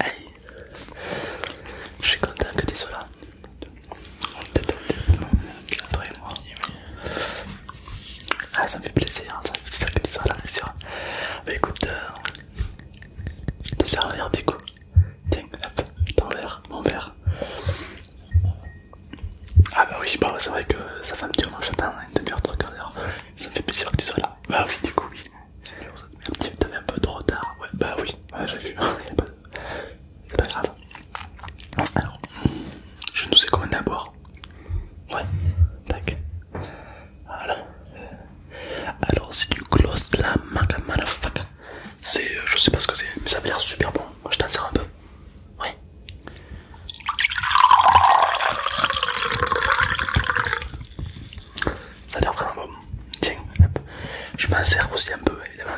Hey, je suis content que tu sois là. toi et moi. Ah, ça me fait plaisir, ça me fait plaisir que tu sois là, bien sûr. Bah écoute, euh, je te sers un l'air du coup. Tiens, hop, ton verre, mon verre. Ah bah oui, bah, c'est vrai que ça fait un petit moment j'attends, une demi-heure, trois quarts d'heure. Ça me fait plaisir que tu sois là. Bah oui, du coup, oui t'avais un peu trop tard. Ouais, bah oui, ouais, j'ai vu, c'est pas, grave. Alors, je nous sais comment d'abord, boire. Ouais, tac. Voilà. Alors, c'est du gloss de la marque C'est, euh, je sais pas ce que c'est, mais ça a l'air super bon. Je t'en sers un peu. Ouais ça a l'air vraiment bon. Tiens, hop. je m'en sers aussi un peu évidemment.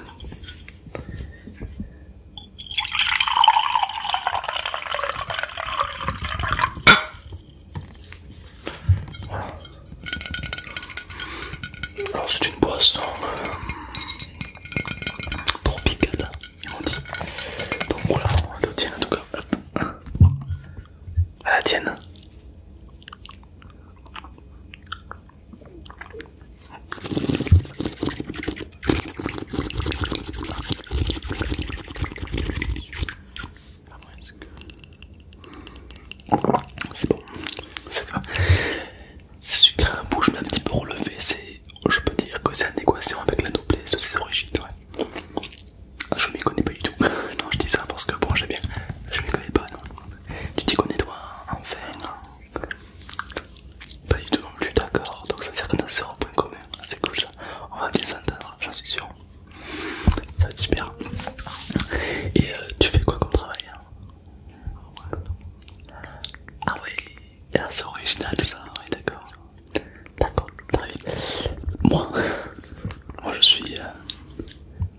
Voilà. Alors c'est une boisson euh, tropicale, ils dit. Donc voilà, on te en tout cas à la tienne. C'est bon, c'est sucré un bouche mais un petit peu relevé, C'est, je peux dire que c'est en équation avec la doublée c'est ses origines. Ouais. Ah, je m'y connais pas du tout. non, je dis ça parce que bon, j'ai bien. Je m'y connais pas, non. Tu t'y connais toi, enfin Pas du tout non plus, d'accord. Donc ça veut dire qu'on a 0 point commun. Ah, c'est cool ça. On va bien s'entendre, j'en suis sûr. Ça va être super. Et euh, tu fais quoi comme travail hein? Ah oui, ah, c'est original ça, oui d'accord. D'accord, Moi, moi je suis. Euh,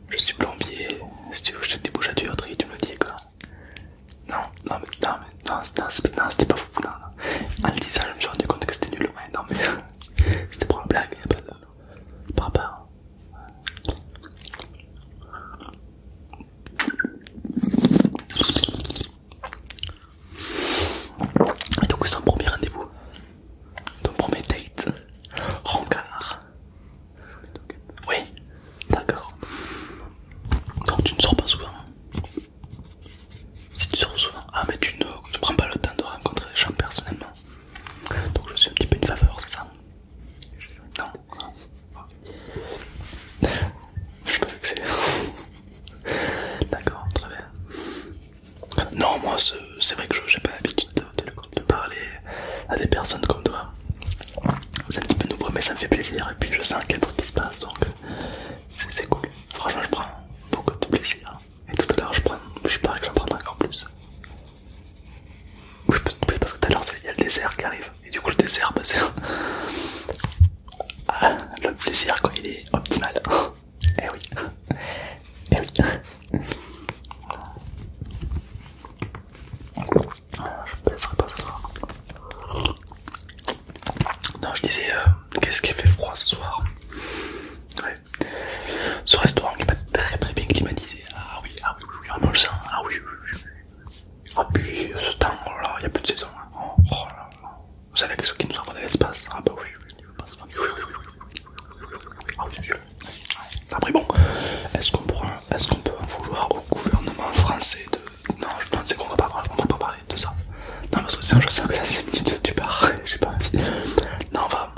je suis plombier. Si tu veux, je te débouche à et tu me le dis quoi. Non, non, mais non, mais non, c'était pas fou. Non, non. En le disant, je me suis rendu compte que c'était nul. Ouais, non, mais c'était pour la blague, y'a pas de. Par rapport. Hein. Et donc, c'est un premier rendez-vous. Ton premier date Rencard Oui, d'accord. Donc tu ne sors pas souvent Si tu sors souvent, ah mais tu ne prends pas le temps de rencontrer les gens personnellement. Donc je suis un petit peu une faveur, c'est ça Non Je suis pas vexé. D'accord, très bien. Non, moi c'est vrai que je pas l'habitude de, parler à des personnes comme toi. C'est un petit peu nouveau, mais ça me fait plaisir. Et puis je sens qu'il y a un truc qui se passe, donc c'est cool. Franchement, je prends beaucoup de plaisir. Et tout à l'heure, je prends, je sûr que j'en prendrai encore plus. Oui, parce que tout à l'heure, il y a le dessert qui arrive. Et du coup, le dessert, bah, c'est. le plaisir, quand il est optimal. Eh oui, eh oui. Je baisserai pas ce soir. Non, je disais, euh, qu'est-ce qui fait froid ce soir Ce restaurant n'est pas très très bien climatisé. Ah oui, ah oui, oui, on le sent. Ah oui, oui, oui. Ah puis ce temps, oh il n'y a plus de saison. Hein. Oh Vous savez que ceux qui nous envoient de l'espace. Ah bah oui. Ah bien sûr. Après bon, est-ce qu'on est ce qu'on peut en vouloir au gouvernement français de... Non, je pense qu'on va pas parler, va pas parler de ça. Non parce que un je sens que c'est une minutes tu pars, sais pas envie. Non va...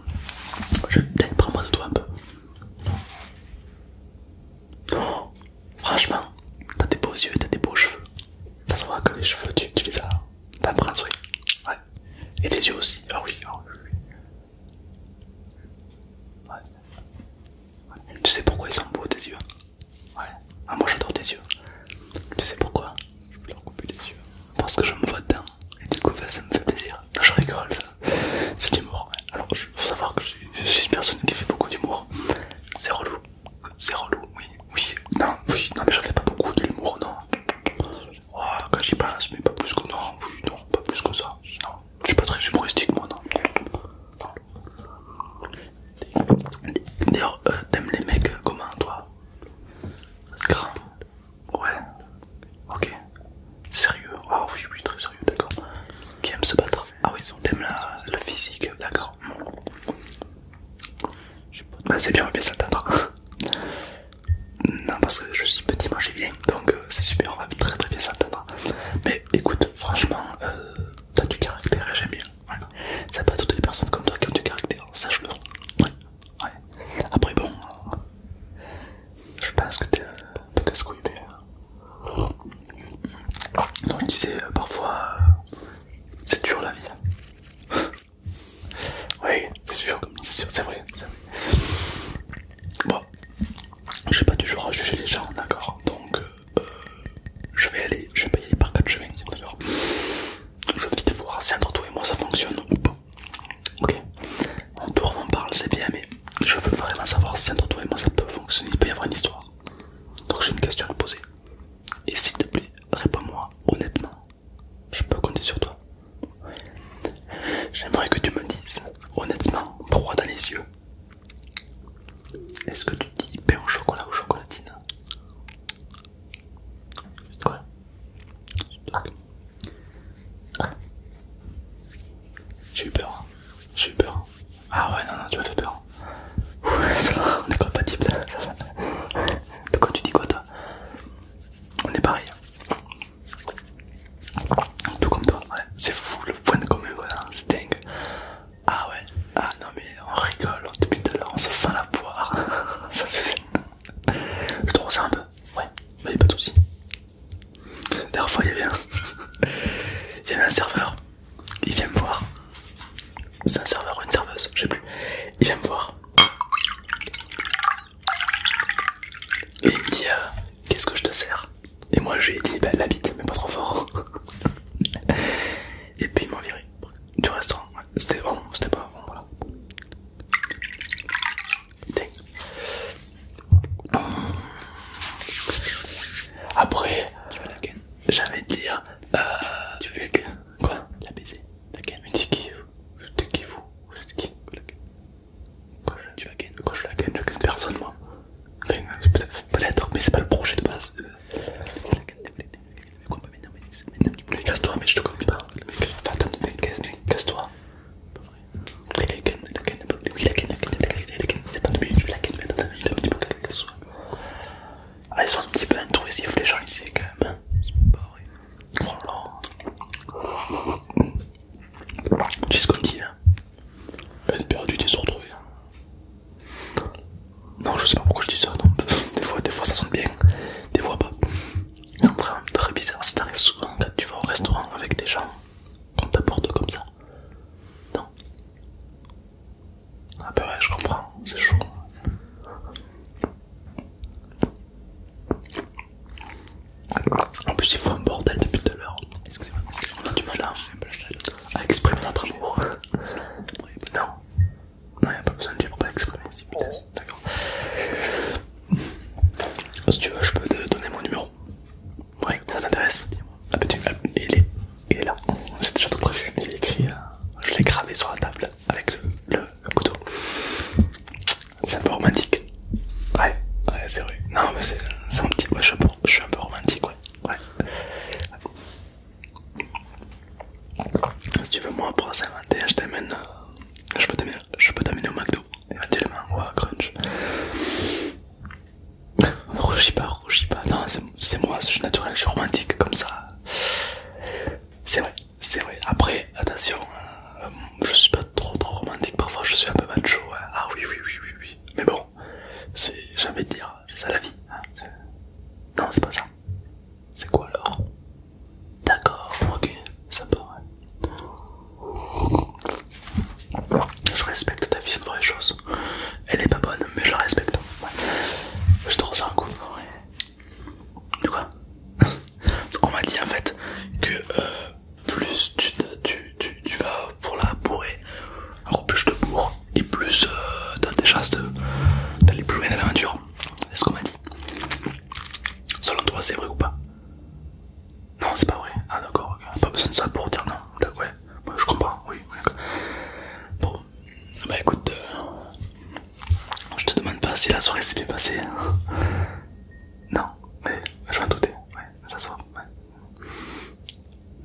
Je peut prends-moi de toi un peu. Franchement, oh, franchement, t'as des beaux yeux, t'as des beaux cheveux. Ça se voit que les cheveux tu, tu les as... T'as un oui. Ouais, et tes yeux aussi. Ah oui, ah oui. Tu sais pourquoi ils sont beaux tes yeux Ouais. Ah moi j'adore tes yeux. Tu sais pourquoi Je peux leur couper les yeux. Parce que je me vois dedans. Et du coup bah, ça me fait plaisir. Non, je rigole ça. C'est l'humour. Alors il faut savoir que je suis une personne qui fait beaucoup d'humour. C'est relou. C'est relou, oui. Oui. Non, oui. Non mais je fais pas beaucoup de l'humour, non oh, Quand j'y pense, mais pas plus que non, non, pas plus que ça. Non, je suis pas très humoristique moi, non. D'ailleurs, euh, t'aimes les mecs comment toi Grand Ouais. Ok. Sérieux Ah oui, oui, très sérieux, d'accord. Qui aime se battre Ah oui, t'aimes le physique, d'accord. Bah c'est bien, mais ça s'attendre. Non, parce que je suis petit, j'ai bien, donc euh, c'est super, on va très très bien s'entendre. Mais écoute, franchement, euh, t'as du caractère et j'aime bien. C'est pas toutes les personnes comme toi qui ont du caractère, sache-le. Ouais. Après, bon, je pense que t'es un peu casse Donc, euh, tu parfois, c'est dur la vie. Hein. Oui, c'est sûr, c'est vrai, Bon, je suis pas toujours à juger les gens, d'accord Donc, euh, euh, je vais aller, je vais pas y aller par quatre chemins, d'accord Je vais vite voir si entre toi et moi ça fonctionne ou pas. Ok On tourne, on parle, c'est bien, mais je veux vraiment savoir si entre toi et moi ça peut fonctionner, il peut y avoir une histoire. Donc j'ai une question à te poser. Et s'il te plaît, réponds-moi honnêtement je peux compter sur toi. J'aimerais que tu me dises, honnêtement, droit dans les yeux. Est-ce que tu dis pain au chocolat ou chocolatine Quoi Ah. J'ai eu peur. Hein. J'ai eu peur. Hein. Ah ouais, non, non, tu m'as fait peur. on est compatibles. De quoi tu dis quoi toi on est pareil. Tout comme toi, ouais. c'est fou le point de commun, voilà. Hein, c'est dingue. Ah ouais, ah non mais on rigole depuis tout à l'heure, on se fend la poire. Ça fait... Je te ressens un peu, ouais, bah y'a pas de soucis. D'ailleurs, fois il y un... il y avait un serveur, il vient me voir. C'est un serveur ou une serveuse, je sais plus. Il vient me voir. Et il me dit euh, Qu'est-ce que je te sers Et moi j'ai dit Bah la bite, mais pas trop fort. Et puis il m'a viré du restaurant. Hein, c'était bon, c'était pas bon, voilà. Hum. Après, tu la J'avais dit, euh, tu veux Quoi La baiser La me Mais qui vous vous qui Quoi, je... Tu la gagne Quoi, je la gagne Je gagne personne, moi. Enfin, peut-être, mais c'est pas le projet de base. casse-toi, mais je te pas. Casse-toi. Ah, ils sont un petit peu intrusifs, les gens ici, quand même. C'est pas vrai. Oh là. Tu sais ce qu'on dit, hein où perdue, t'es retrouvé. Hein. Non, je sais pas pourquoi je dis ça, non. Des fois, des fois ça sonne bien, des fois pas. C'est vraiment très bizarre. Ça t'arrive souvent quand tu vas au restaurant avec des gens, qu'on t'apporte comme ça. Non. Ah bah ouais, je comprends, c'est chaud. En plus, il faut un bordel depuis tout à l'heure. Excusez-moi, on a du mal à, exprimer notre amour. Non, non, il a pas besoin de lui pour pas l'exprimer. D'accord. Si tu veux, je peux te donner mon numéro. Oui, ça t'intéresse Ah, moi ah, il, est... là. C'est déjà tout prévu. Il écrit. Euh, je l'ai gravé sur la table avec le, couteau. C'est un peu romantique. Ouais, ouais, c'est vrai. Non, mais c'est un petit. je, suis un peu romantique, ouais. Si tu veux, moi, pour s'inventer, je t'amène. Euh, je peux t'amener au McDo, éventuellement, ou à Crunch. rougis pas, rougis pas. Non, c'est moi, je suis naturel, je suis romantique comme ça. C'est vrai. C'est vrai, après, attention, euh, je suis pas trop trop romantique, parfois je suis un peu macho, hein. ah oui, oui, oui, oui, oui, mais bon, c'est, j'ai envie de dire, c'est ça la vie, hein. non, c'est pas ça, c'est quoi alors D'accord, ok, sympa, ouais. Je respecte ta vision une vraie choses, elle est pas bonne, mais je la respecte, je te ressens un ouais. De quoi On m'a dit en fait que euh, plus tu, tu, vas pour la bourrer, encore plus je te bourre et plus euh, t'as des chances d'aller plus loin dans l'aventure. C'est ce qu'on m'a dit. Selon toi, c'est vrai ou pas Non, c'est pas vrai. Ah d'accord, pas besoin de ça pour dire non. Ouais, je comprends, oui. Bon, bah écoute, euh, je te demande pas si la soirée s'est bien passée. Hein. Non, mais je vais en Ouais, ça se voit.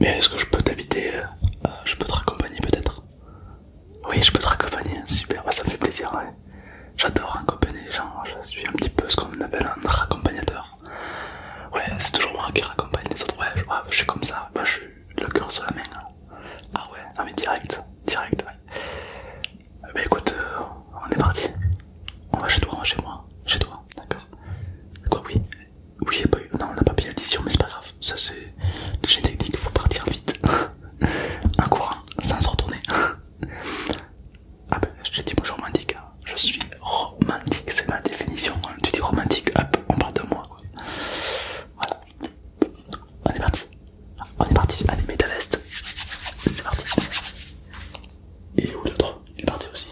Mais est-ce que je peux t'habiter euh, Je peux te raccompagner peut-être Oui, je peux te raccompagner. Super, bah, ça me fait plaisir. J'adore accompagner les gens. Je suis un petit peu ce qu'on appelle un raccompagnateur. Ouais, c'est toujours moi qui raccompagne les autres. Ouais, je, suis comme ça. Bah, je suis le cœur sur la main. Hein. Ah ouais, non mais direct, direct. Ah bah écoute, euh, on est parti. On va chez toi, chez moi. Chez toi, d'accord. Quoi, oui Oui, pas eu... Non, on n'a pas payé l'addition, mais c'est pas grave. Ça, c'est génétique, technique, faut partir vite. En courant, sans se retourner. ah ben, je te dis bonjour romantique. Hein. Je suis romantique, c'est ma définition. Hein. Tu dis romantique, hop, on parle de moi. Voilà. On est parti. On est parti. Allez, mets ta veste. C'est parti. Il est où l'autre Il est parti aussi.